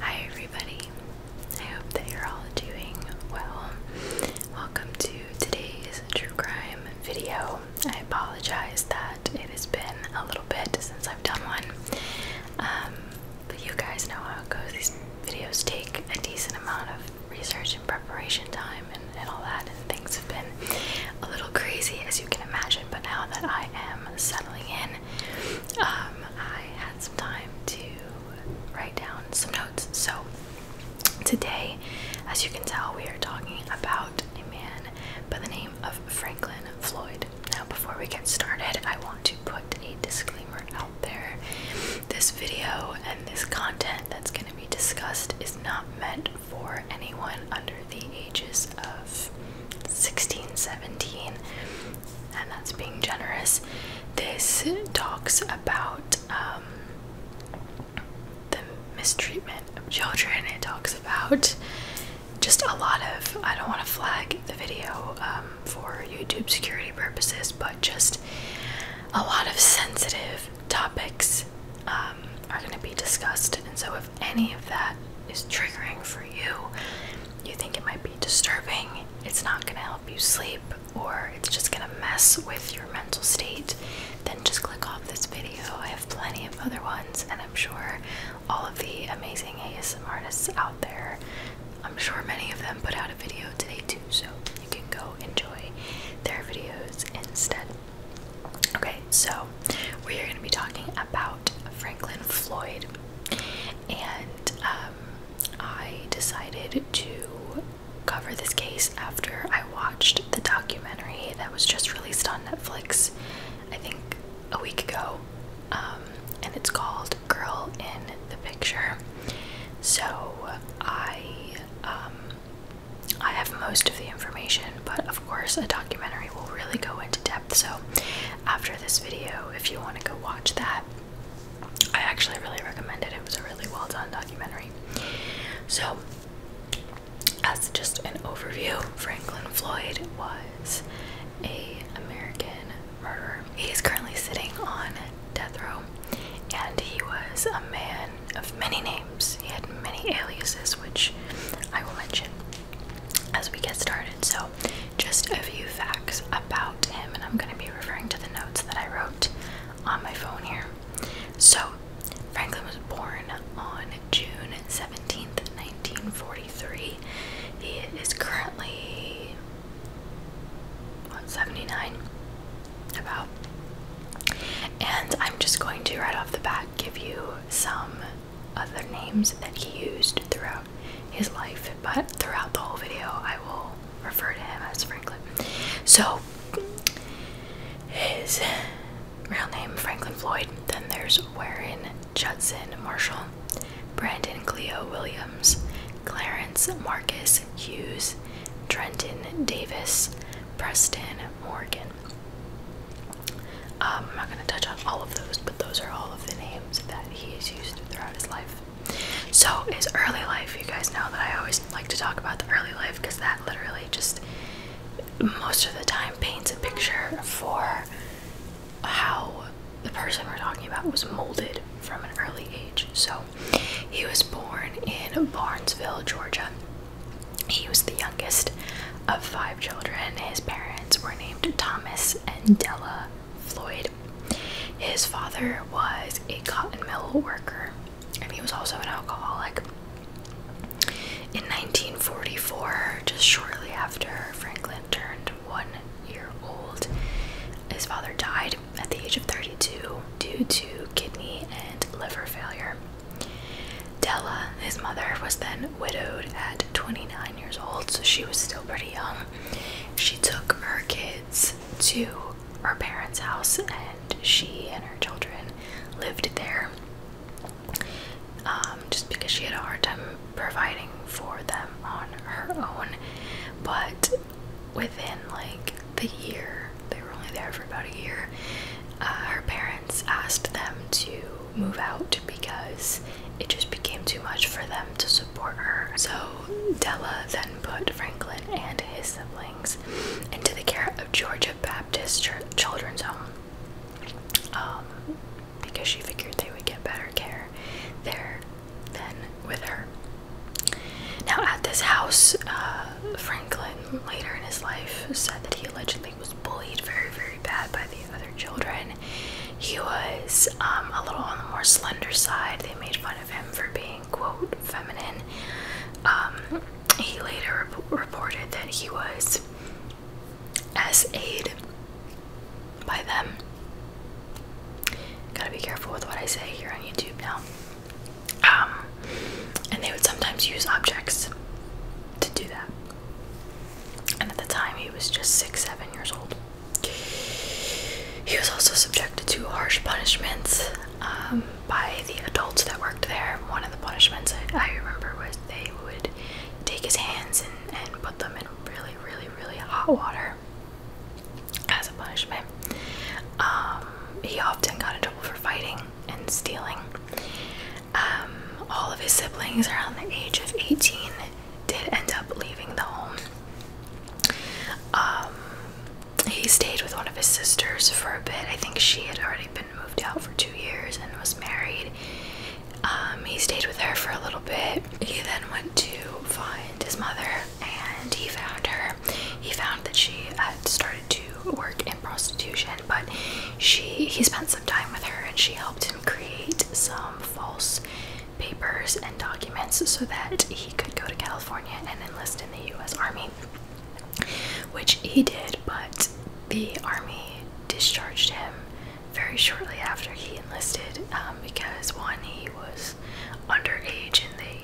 Hi, everybody. I hope that you're all doing well. Welcome to today's true crime video. I apologize that it has been a little bit since I've done one, um, but you guys know how it goes. These videos take a decent amount of research and preparation time and all that, and things have been a little crazy as you can imagine, but now that I am settling in, um, I had some time to write down some notes. So today, as you can tell, we are talking about a man by the name of Franklin Floyd. Now, before we get started, I want to put a disclaimer out there. This video and this content that's going to be discussed is not meant for anyone under the ages of 16, 17, and that's being generous. This talks about um, the mistreatment of children, it talks about just a lot of. I don't want to flag the video um, for YouTube security purposes, but just a lot of sensitive topics um, are going to be discussed. And so, if if any of that is triggering for you, you think it might be disturbing, it's not going to help you sleep, or it's just going to mess with your mental state, then just click off this video. I have plenty of other ones, and I'm sure all of the amazing ASM artists out there, I'm sure many of them put out a video today too, so you can go enjoy their videos instead. Okay, so we are going to be talking about Franklin Floyd, and um, I decided to cover this case after I watched the documentary that was just released on Netflix, I think a week ago, um, and it's called Girl in the Picture. So I um, I have most of the information, but of of course, a documentary will really go into depth. So, after this video, if you want to go watch that, I actually really recommend it. It was a really well done documentary. So, as just an overview, Franklin Floyd was a American murderer. He is currently sitting on death row, and he was a man of many names. He had many aliases, which I will mention as we get started. So, just a few facts about him, and I'm going to be referring to the notes that I wrote on my phone here. So, Franklin was born on June 17th, 1943. He is currently one seventy-nine, about. And I'm just going to right off the bat give you some other names that he used throughout his life, but throughout the whole video, I will refer to him as Franklin. So, his real name, Franklin Floyd. Then there's Warren Judson Marshall, Brandon Cleo Williams, Clarence Marcus Hughes, Trenton Davis, Preston Morgan. Um, I'm not going to touch on all of those, but those are all of the names that he has used throughout his life. So, his early life, you guys know that I always like to talk about the early life because that literally just most of the time paints a picture for how the person we're talking about was molded from an early age. So, he was born in Barnesville, Georgia he was the youngest of five children. His parents were named Thomas and Della Floyd. His father was a cotton mill worker, and he was also an alcoholic. In 1944, just shortly after Franklin turned one year old, his father died at the age of 32 due to kidney and liver failure. Della, his mother, was then widowed at 29 years old, so she was still pretty young. She took her kids to her parents' house, and she and her children lived there um, just because she had a hard time providing for them on her own. But within like the year, they were only there for about a year, uh, her parents asked them to move out because it just became too much for them to support her. So Della then put Franklin and his siblings into the care of Georgia Baptist Children's Home um, because she figured they would get better care there than with her. Now, at this house, uh, Franklin later in his life said that he allegedly he was bullied very, very bad by the other children. He was um, a little on the more slender side. They made fun of him for being, quote, feminine. Um, he later reported that he was sa by them. Gotta be careful with what I say here on YouTube now. Um, and they would sometimes use objects to do that and at the time he was just six, seven years old. He was also subjected to harsh punishments um, by the adults that worked there. One of the punishments I, remember was they would take his hands and, put them in really, really, really hot water as a punishment. Um, he often got in trouble for fighting and stealing. Um, all of his siblings around the age of 18 did end up leaving the home. Um, he stayed with one of his sisters for a bit. I think she had already been moved out for two years and was married. Um, he stayed with her for a little bit. He then went to find his mother and he found her. He found that she had started to work in prostitution but she he spent some time with her and she helped him create some false papers and documents so that he could go to California and enlist in the US Army, which he did, but the Army discharged him very shortly after he enlisted um, because one, he was underage and they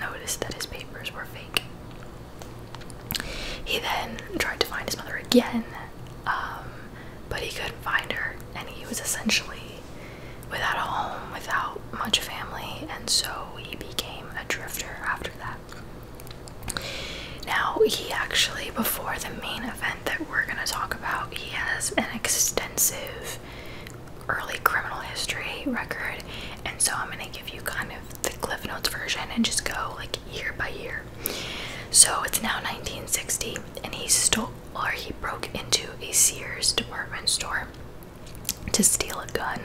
noticed that his papers were fake. He then tried to find his mother again, um, but he couldn't find her, and he was essentially without a home, without much family, and so he became a drifter after that. Now, he actually, before the main event that we're going to talk about, he has an extensive early criminal history record, and so I'm going to give you kind of the Cliff Notes version and just go like year by year. So it's now 1960, and he stole or he broke into a Sears department store to steal a gun.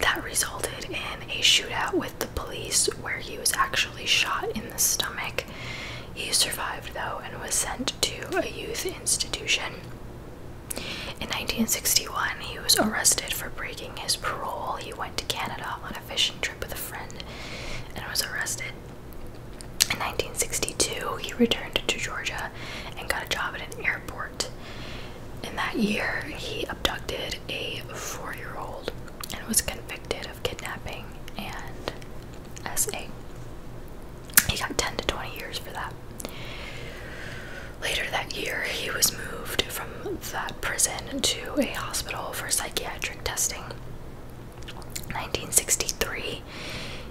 That resulted in a shootout with the police where he was actually shot in the stomach. He survived though and was sent to a youth institution. In 1961, he was arrested for breaking his parole. He to Canada on a fishing trip with a friend and was arrested. In 1962, he returned to Georgia and got a job at an airport. In that year, he abducted a four year old and was convicted of kidnapping and SA. He got 10 to 20 years for that. Later that year, he was moved from that prison to a hospital for psychiatric testing. 1963,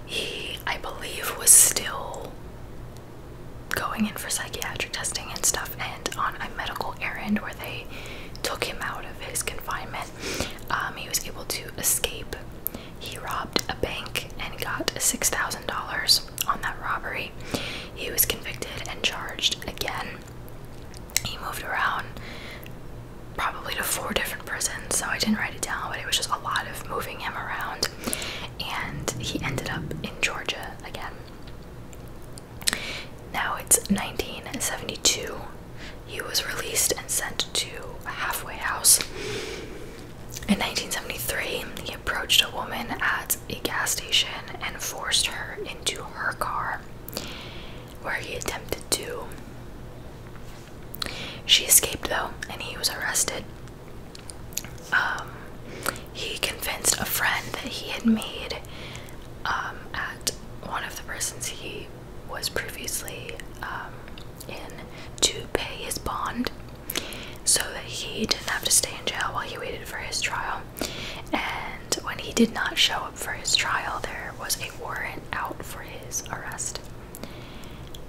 he, I believe, was still going in for psychiatric testing and stuff, and on a medical errand where they took him out of his confinement, um, he was able to escape. He robbed a bank and got $6,000 on that robbery. He was convicted and charged again he moved around probably to four different prisons, so I didn't write it down, but it was just a lot of moving him around. And he ended up in Georgia again. Now it's 1972. He was released and sent to a halfway house. In 1973, he approached a woman at a gas station and forced her into her car where he attempted to. She escaped though, and he was arrested. Um, he convinced a friend that he had made um, at one of the prisons he was previously um, in to pay his bond so that he didn't have to stay in jail while he waited for his trial. And when he did not show up for his trial, there was a warrant out for his arrest.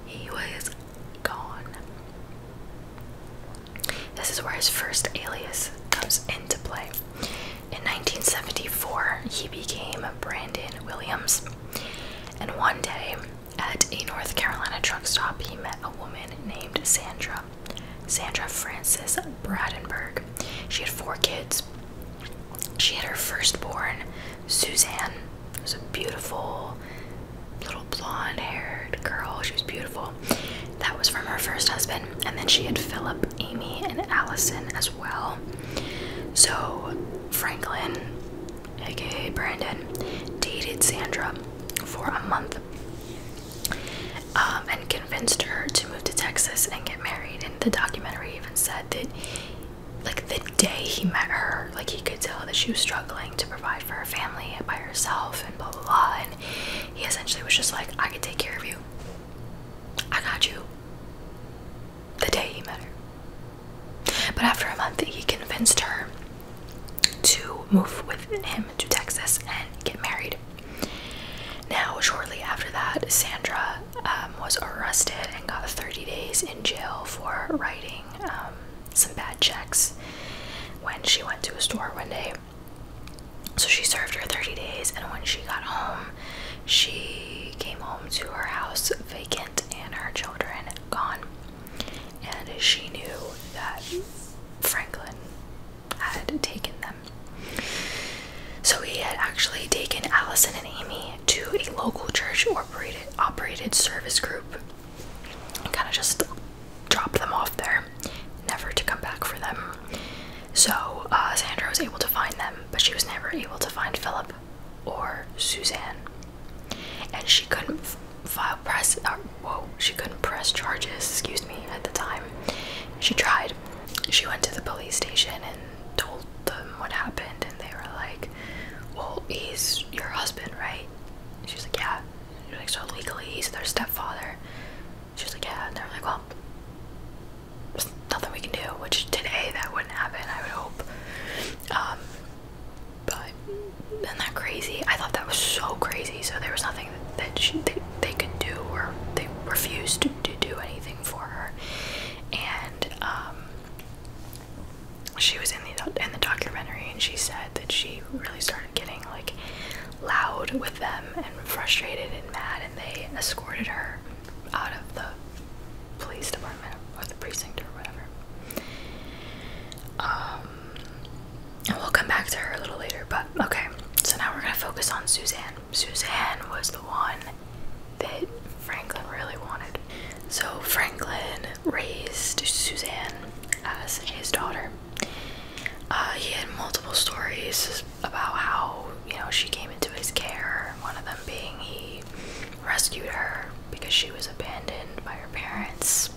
He was gone. This is where his first alias comes into play. In 1974, he became Brandon Williams. And one day, at a North Carolina truck stop, he met a woman named Sandra Sandra, Francis Frances She had four kids. She had her firstborn, Suzanne, was a beautiful little blonde haired girl. She was beautiful. That was from her first husband. And then she had Philip, Amy, and Allison as well. So Franklin, aka Brandon, dated Sandra for a month. Um, and convinced her to move to Texas and get married. And the documentary even said that, like, the day he met her, like, he could tell that she was struggling to provide for her family by herself and blah blah blah. And he essentially was just like, I can take care of you, I got you. The day he met her. But after a month, he convinced her to move with him to Texas and get married. Now, shortly after that, Sandra um, was arrested and got 30 days in jail for writing um, some bad checks when she went to a store one day. So she served her 30 days, and when she got home, she came home to her house vacant and her children gone. And she knew that Franklin had taken them. So he had actually taken Allison and Amy to a local church operated operated service group and kind of just dropped them off there, never to come back for them. So uh, Sandra was able to find them, but she was never able to find Philip or Suzanne, and she couldn't file press. Uh, whoa, she couldn't press charges. Excuse me. At the time, she tried, she went to the police station and told them what happened and they were like well he's your husband right she's like yeah she's like so legally he's their stepfather she's like yeah and they're like well there's nothing we can do which today that wouldn't happen i would hope um, but isn't that crazy i thought that was so crazy so there was nothing that she, they, they could do or they refused to, to do anything for her and um, she was in the in the documentary and she said that she really started getting like loud with them and frustrated and mad and they escorted her out of the police department or the precinct or whatever um, and we'll come back to her a little later but okay so now we're gonna focus on Suzanne Suzanne was the one that Franklin really wanted. So Franklin raised Suzanne as his daughter. Uh, he had multiple stories about how you know she came into his care. One of them being he rescued her because she was abandoned by her parents.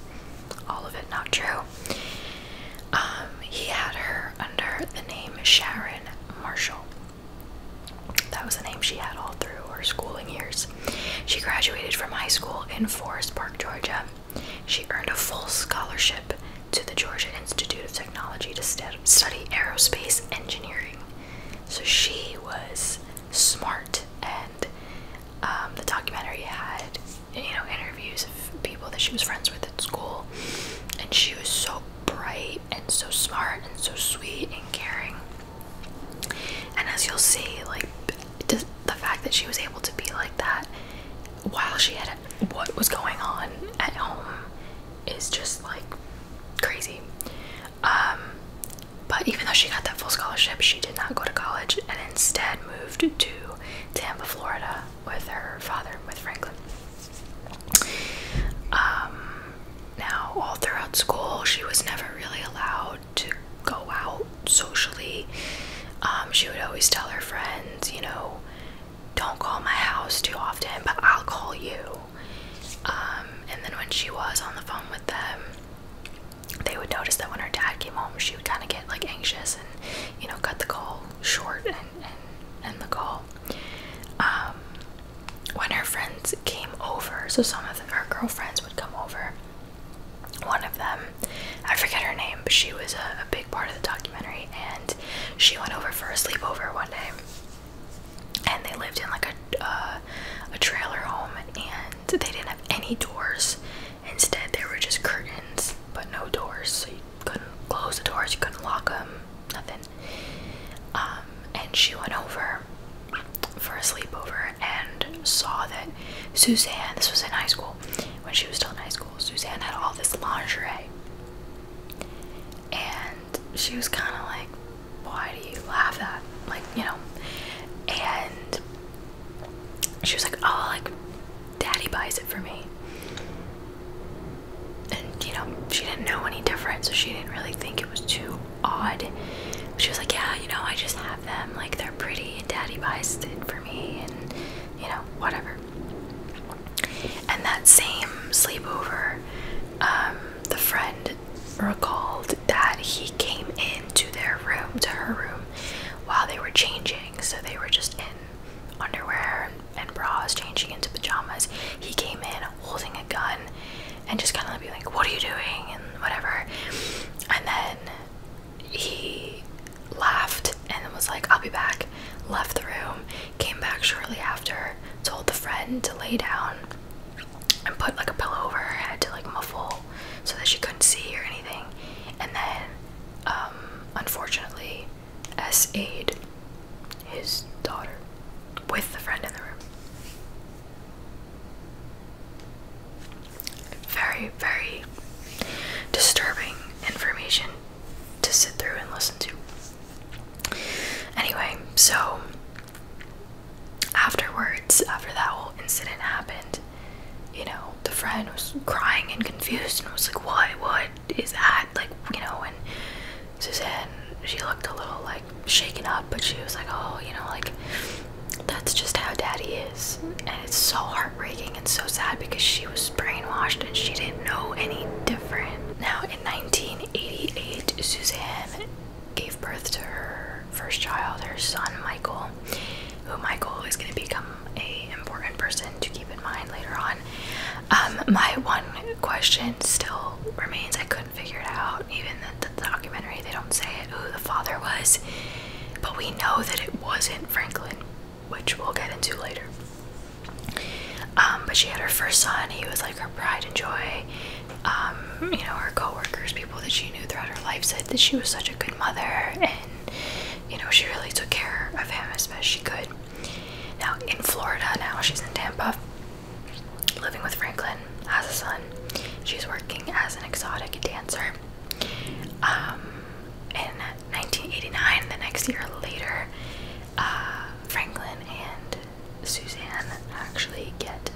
All of it not true. Um, he had her under the name Sharon Marshall. That was the name she had all through her schooling years. She graduated from high school in Forest Park, Georgia. She earned a full scholarship to the Georgia Institute of Technology to study aerospace engineering. So she was smart, and um, the documentary had you know interviews of people that she was friends with at school and she was so bright and so smart and so sweet and caring and as you'll see like does, the fact that she was able to be like that while she had what was going on at home is just like crazy um, but even though she got that full scholarship she did not go to college and instead moved to Tampa Florida with her father, with Franklin. Um, now, all throughout school, she was never really allowed to go out socially. Um, she would always tell her friends, you know, don't call my house too often, but I'll call you. Um, and then when she was on the phone with them, they would notice that when her dad came home, she would kind of get like anxious and, you know, cut the call short and, and, and the call. Um, when her friends came over, so some of her girlfriends would come over. One of them, I forget her name, but she was a, big part of the documentary, and she went over for a sleepover one day. And they lived in like a uh, a trailer home, and they didn't have any doors. Instead, there were just curtains, but no doors, so you couldn't close the doors. she couldn't lock them, nothing. Um, and she went over for a sleepover and saw that Suzanne, this was in high school, when she was still in high school, Suzanne had all this lingerie. And she was kind of like, why do you laugh at? Like, you know. And she was like, oh, like, Daddy buys it for me. And you know, she didn't know any different, so she didn't really think it was too odd. She was like, Yeah, you know, I just have them, like they're pretty, and daddy buys it for me, and you know, whatever. And that same sleepover, um, the friend recalled that he came into their room, to her room, while they were changing, so they were just in underwear and bras, changing into pajamas. He came in holding a gun and just kind of be like, What are you doing? and whatever. And then he laughed and was like, I'll be back. Left the room, came back shortly after, told the friend to lay down and put like a pillow over her head to like muffle so that she couldn't see or anything. And then, um, unfortunately, as his daughter with the friend in the room. Very, very disturbing information to sit through and listen to. Anyway, so afterwards, after that whole incident happened, you know, the friend was crying and confused and was like, What, what is that? like, you know, and Suzanne, she looked a little like shaken up, but she was like, oh, you know, like, that's just how daddy is. And it's so heartbreaking and so sad because she was brainwashed and she didn't know any different. Now, in 1988, Suzanne gave birth to her first child, her son Michael, who Michael is going to become a important person to keep in mind later on. Um, my one question still remains. I couldn't figure it out. Even the, the documentary, they don't say who the father was, but we know that it wasn't Franklin, which we'll get into later. Um, but she had her first son. He was like her pride and joy. Um, you know, her coworkers, people that she knew throughout her life, said that she was such a good mother, and you know, she really took care of him as best she could. Now in Florida now, she's in Tampa, living with Franklin, has a son. She's working as an exotic dancer. Um, in 1989, the next year later, uh, Franklin and Suzanne actually get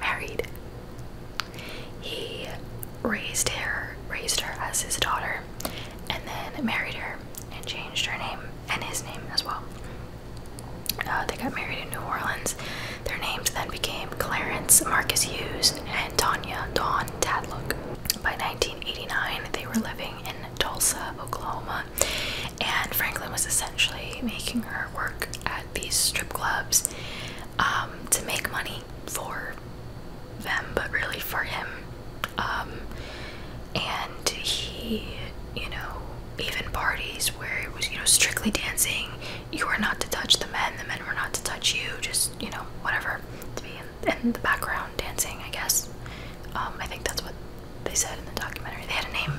married. He raised her, raised her as his daughter, and then married her and changed her name and his name as well. Uh, they got married in New Orleans. Their names then became Clarence Marcus Hughes and Tanya Dawn Tadlock. By 1989, they were living in Tulsa, Oklahoma, and Franklin was essentially making her work at these strip clubs um, to make money for them, but really for him um, and he, you know, even parties where it was, you know, strictly dancing, you were not to touch the men, the men were not to touch you, just, you know, whatever, to be in, the background dancing, I guess. Um, I think that's what they said in the documentary. They had a name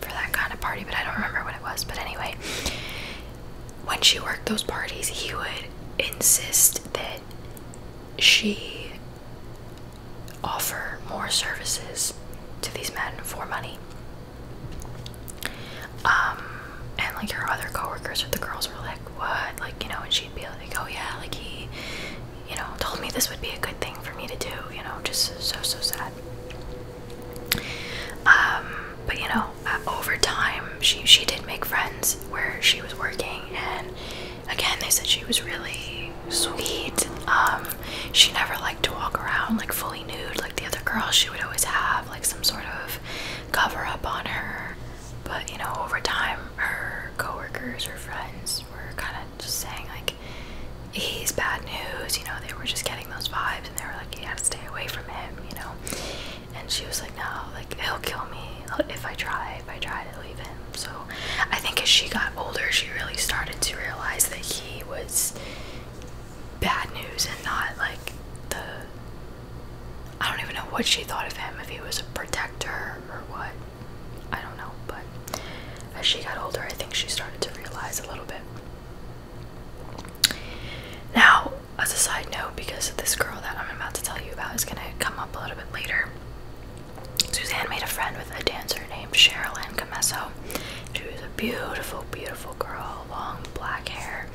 for that kind of party, but I don't remember what it was. But anyway, when she worked those parties, he would insist that she offer more services to these men for money? Um, and like her other coworkers or the girls were like, "What?" Like you know, and she'd be like, "Oh yeah, like he, you know, told me this would be a good thing for me to do." You know, just so so sad. Um, but you know, uh, over time, she she did make friends where she was working, and again they said she was really sweet um, she never liked to walk around like fully nude like the other girls she would always have like some sort of cover up on her but you know over time her coworkers her friends were kind of just saying like he's bad news you know they were just getting those vibes and they were like you have to stay away from him you know and she was like no like he'll kill me if i try if i try to leave him so I think as she got older, she really started to realize that he was bad news and not like the. I don't even know what she thought of him, if he was a protector or what. I don't know, but as she got older, I think she started to realize a little bit. Now, as a side note, because this girl that I'm about to tell you about is going to come up a little bit later, Suzanne made a friend with a dancer named Cheryl Ann Camesso. She was a beautiful, beautiful girl, long black hair,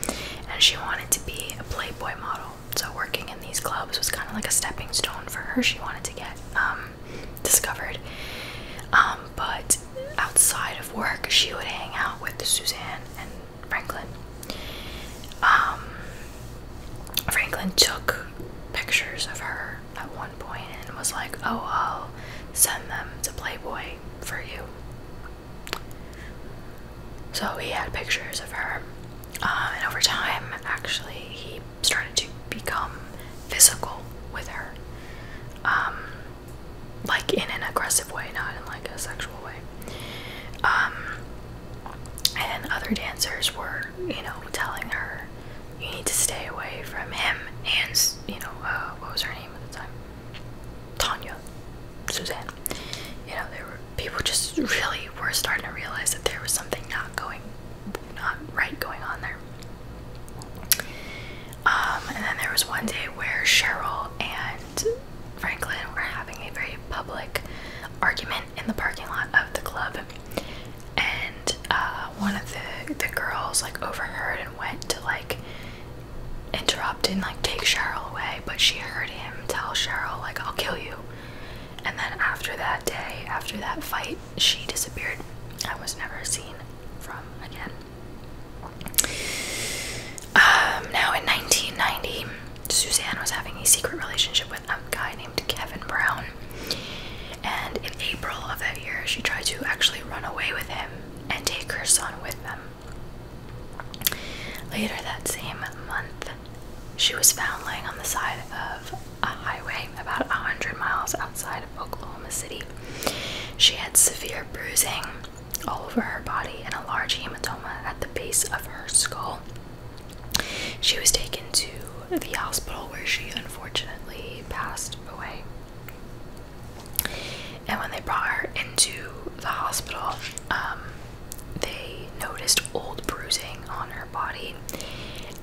and she wanted to be a Playboy model. So working in these clubs was kind of like a stepping stone for her. She wanted to get um, discovered. Um, but outside of work, she would hang out with Suzanne and Franklin. Um, Franklin took pictures of her at one point and was like, "Oh, I'll send them to Playboy for you." So he had pictures of her, um, and over time, actually, he started to become physical with her, um, like in an aggressive way, not in like a sexual way. and other dancers were you know, telling her you need to stay away from him and, you know, uh, what was her name at the time? Tanya, Suzanne. You know, there were people just really were starting to realize that there was something not going, not right going on there. Um, and then there was one day where Cheryl and Franklin were having a very public argument in the parking lot of the club, and uh, one of the the girls like overheard and went to like interrupt and like take Cheryl away, but she heard him tell Cheryl like I'll kill you, and then after that day, after that fight, she disappeared. I was never seen from again. Um, now in 1990, Suzanne was having a secret relationship with a guy named Kevin Brown. And in April of that year, she tried to actually run away with him and take her son with them. Later that same month, she was found laying on the side of a highway about 100 miles outside of Oklahoma City. She had severe bruising all over her body and a large hematoma at the base of her skull. She was taken to the hospital where she unfortunately passed away. And when they brought her into the hospital, um, they noticed old bruising on her body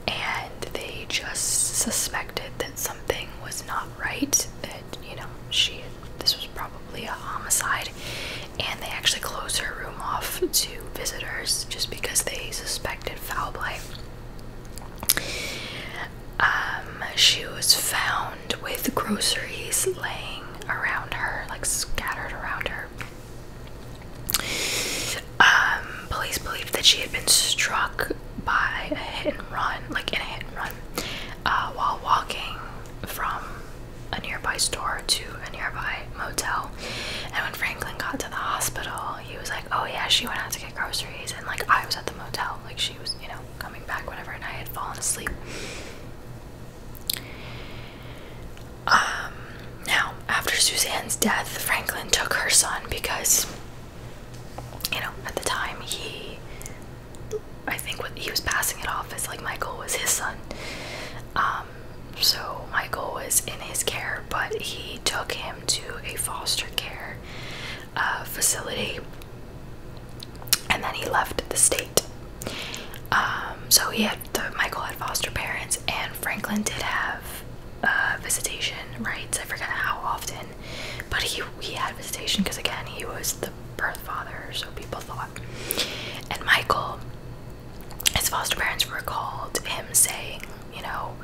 and they just suspected that something was not right, that, you know, she this was probably a homicide and they actually closed her room off to visitors just because they suspected foul play. Um, she was found with groceries laying around her, like scattered around her. Um, police believed that she had been struck by a hit and run, like in a hit and run, uh, while walking from a nearby store to a nearby motel. And when Franklin got to the hospital, he was like, Oh, yeah, she went out to get groceries. And like, I was at the motel. Like, she was, you know, coming back, whenever, And I had fallen asleep. Um, now, after Suzanne's death, Franklin took her son because, you know, at the time he, I think what he was passing it off as like Michael was his son. Um, so Michael was in his care, but he took him to a foster care uh, facility and then he left the state. Um, so he had Michael had foster parents, and Franklin did have uh, visitation rights. I forget how often, but he he had visitation because again he was the birth father, so people thought. And Michael his foster parents recalled him saying, you know,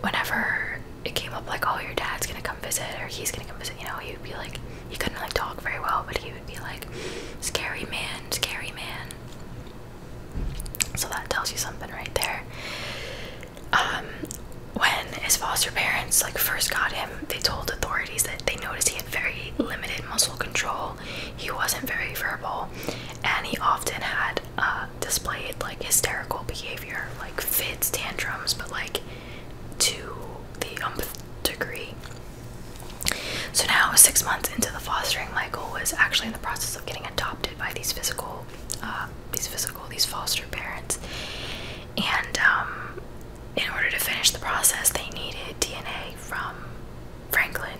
whenever it came up like, oh, your dad's gonna come visit or he's gonna come visit, you know, he would be like, he couldn't like talk very well, but he would be like, scary man, scary man. So that tells you something right there. Um, when his foster parents like first got him, they told authorities that they noticed he had very limited muscle control. He wasn't very verbal and he often had uh, displayed like hysterical behavior, like fits, tantrums, but like to the umpth degree. So now, six months into the fostering, Michael was actually in the process of getting adopted by these physical, uh, these physical, these foster parents, and um, in order to finish the process, they needed DNA from Franklin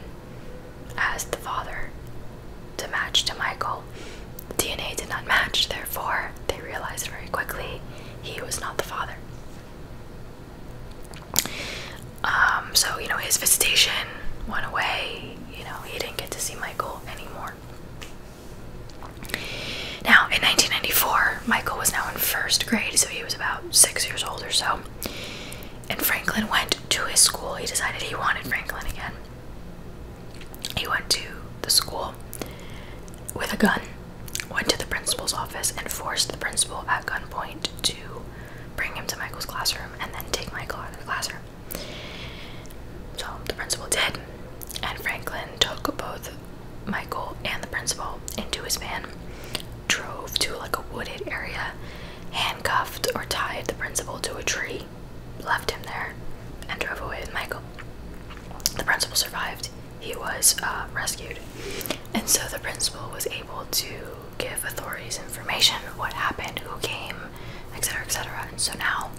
as the father to match to Michael. DNA did not match, therefore, they realized very quickly he was not the father. Um, so, you know, his visitation went away. You know, he didn't get to see Michael anymore. Now, in 1994, Michael was now in first grade, so he was about six years old or so and Franklin went to his school. He decided he wanted Franklin again. He went to the school with a gun, went to the principal's office, and forced the principal at gunpoint to bring him to Michael's classroom and then take Michael out of the classroom. So the principal did, and Franklin took both Michael and the principal into his van, drove to like a wooded area, handcuffed or tied the principal to a tree, left him there, and drove away with Michael. The principal survived. He was uh, rescued. And so the principal was able to give authorities information what happened, who came, etc., etc. And so now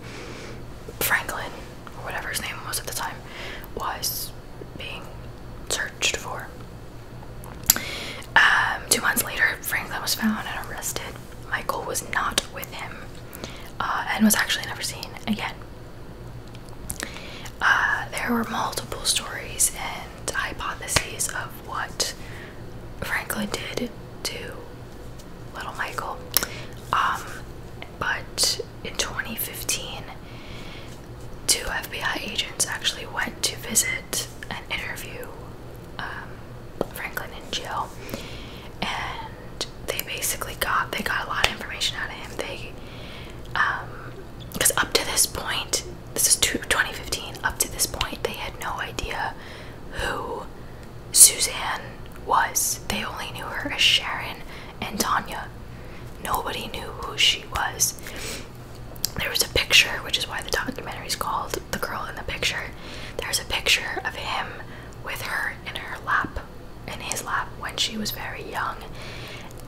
Franklin, or whatever his name was at the time, was being searched for um, two months later, Franklin was found and arrested. Michael was not with him uh, and was actually never seen again. Uh, there were multiple stories and hypotheses of what Franklin did to little Michael. Um, but in 2015, two FBI agents actually went to visit an interview, um, Franklin and Jill, and they basically got they got a lot of information out of him. They, um, because up to this point, this is 2015. Up to this point, they had no idea who Suzanne was. They only knew her as Sharon and Tanya. Nobody knew who she was there was a picture, which is why the documentary is called The Girl in the Picture. There's a picture of him with her in her lap, in his lap, when she was very young.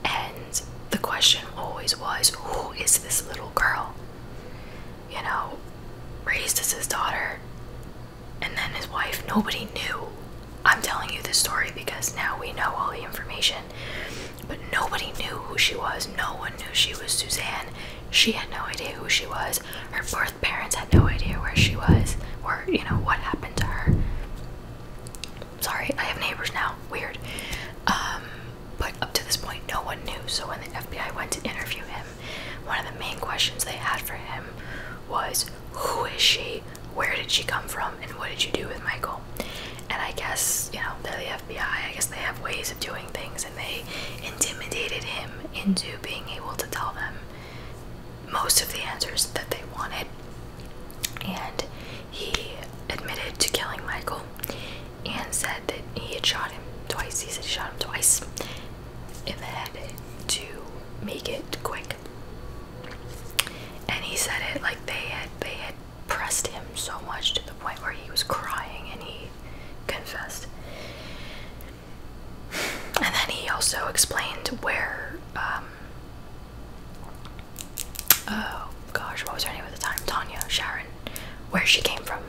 And the question always was, Who is this little girl? You know, raised as his daughter, and then his wife, nobody knew. I'm telling you this story because now we know all the information. But nobody knew who she was. No one knew she was Suzanne. She had no idea who she was. Her birth parents had no idea where she was or, you know, what happened to her. Sorry, I have neighbors now. Weird. Um, but up to this point, no one knew. So when the FBI went to interview him, one of the main questions they had for him was Who is she? Where did she come from? And what did you do with Michael? And I guess, you know, there they're I guess they have ways of doing things, and they intimidated him into being able to tell them most of the answers that they wanted. And he admitted to killing Michael and said that he had shot him twice. He said he shot him twice in the head to make it quick. And he said it like they had they pressed him so much to the point where he was crying and he confessed. And then he also explained where, um, oh gosh, what was her name at the time? Tanya, Sharon, where she came from.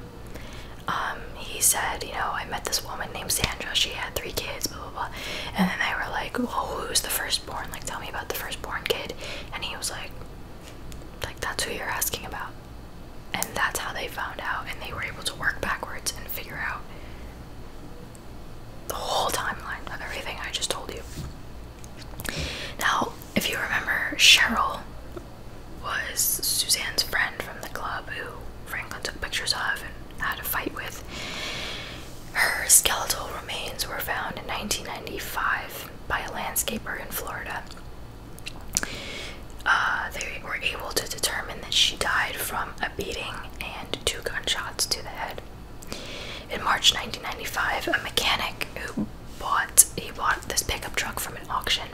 Um, he said, you know, I met this woman named Sandra, she had three kids, blah, blah, blah. And then they were like, well, who's the firstborn? Like, tell me about the firstborn kid. And he was like, like, that's who you're asking about. And that's how they found out, and they were able to work backwards and figure out the whole timeline of everything I just told you. Now, if you remember, Cheryl was Suzanne's friend from the club who Franklin took pictures of and had a fight with. Her skeletal remains were found in 1995 by a landscaper in Florida. Uh, they were able to determine that she died from a beating and two gunshots to the head. In March 1995, a mechanic who bought he bought this pickup truck from an auction,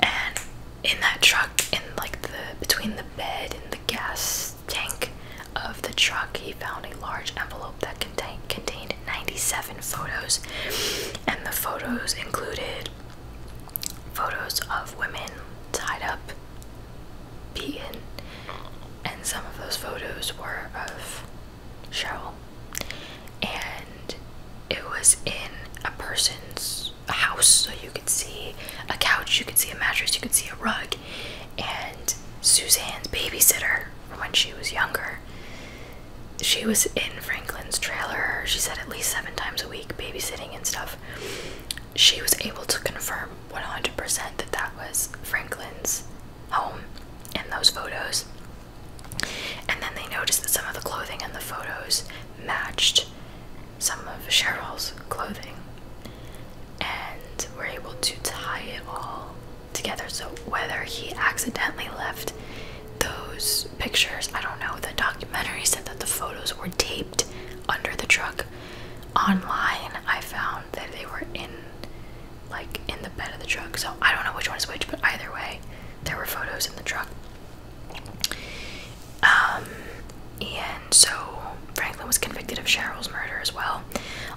and in that truck, in like the between the bed and the gas tank of the truck, he found a large envelope that contain, contained 97 photos, and the photos included photos of women tied up, beaten, and some of those photos were of Cheryl. And it was in a person's house, so you could see a couch, you could see a mattress, you could see a rug, and Suzanne's babysitter when she was younger. She was in Franklin's trailer, she said at least seven times a week, babysitting and stuff. She was able to confirm 100% that that was Franklin's home in those photos. And then they noticed that some of the clothing in the photos matched some of Cheryl's clothing and were able to tie it all together. So whether he accidentally left those pictures, I don't know. The documentary said that the photos were taped under the truck. Online, I found that they were in like in the bed of the truck. So I don't know which one is which, but either way, there were photos in the truck. Um, and so Franklin was convicted of Cheryl's murder as well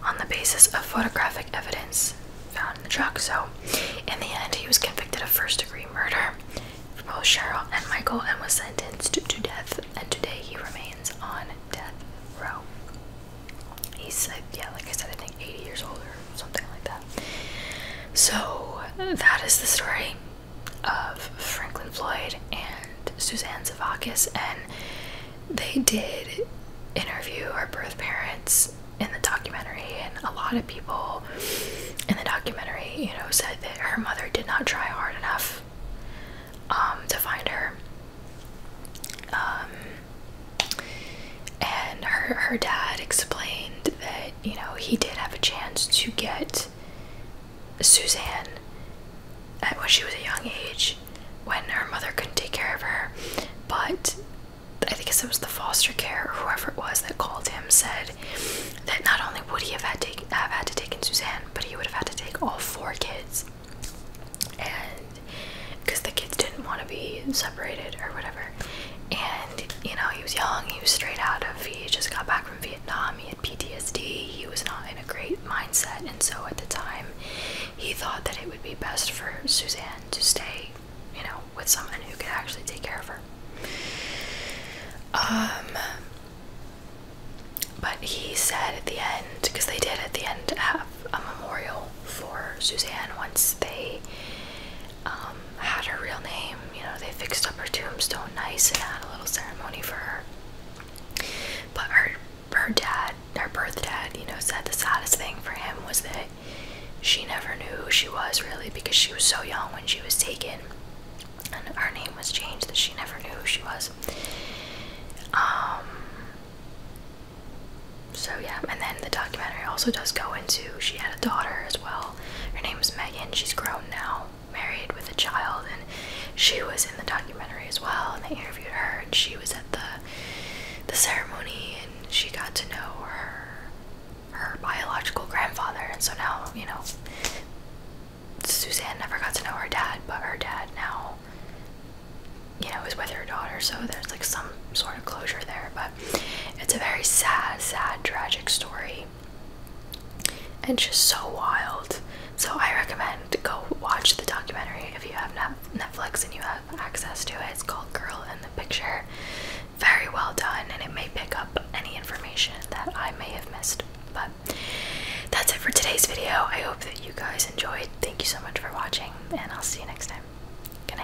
on the basis of photographic evidence found in the truck. So, in the end, he was convicted of first degree murder for both Cheryl and Michael and was sentenced to death. And today he remains on death row. He's, uh, yeah, like I said, I think 80 years old or something like that. So, that is the story of Franklin Floyd and Suzanne Zavakis. And they did interview our birth parents in the documentary, and a lot of people in the documentary, you know, said that her mother did not try hard enough um, to find her. Um, and her her dad explained that you know he did have a chance to get Suzanne at when she was a young age, when her mother couldn't take care of her, but I think it was the foster care or whoever it was that called him said that not only would he have had to have had to take in Suzanne, but he would have had to take all four kids, and because the kids didn't want to be separated or whatever. And you know he was young, he was straight out of he just got back from Vietnam, he had PTSD, he was not in a great mindset, and so at the time he thought that it would be best for Suzanne to stay you know, with someone who could actually take care of her. Um, but he said at the end, because they did at the end have a memorial for Suzanne once they um, had her real name, you know, they fixed up her tombstone nice and had a little ceremony for her. But her her dad, her birth dad, you know, said the saddest thing for him was that she never knew who she was really because she was so young when she was taken and her name was changed that she never knew who she was um so yeah and then the documentary also does go into she had a daughter as well her name is megan she's grown now married with a child and she was in the documentary as well and they interviewed her and she was at the the ceremony she got to know her her biological grandfather and so now, you know, Suzanne never got to know her dad, but her dad now you know, is with her daughter, so there's like some sort of closure there, but it's a very sad, sad, tragic story. And just so wild. So I recommend go watch the documentary if you have Netflix and you access to it. It's called Girl in the Picture. Very well done, and it may pick up any information that I may have missed. But that's it for today's video. I hope that you guys enjoyed. Thank you so much for watching, and I'll see you next time. Good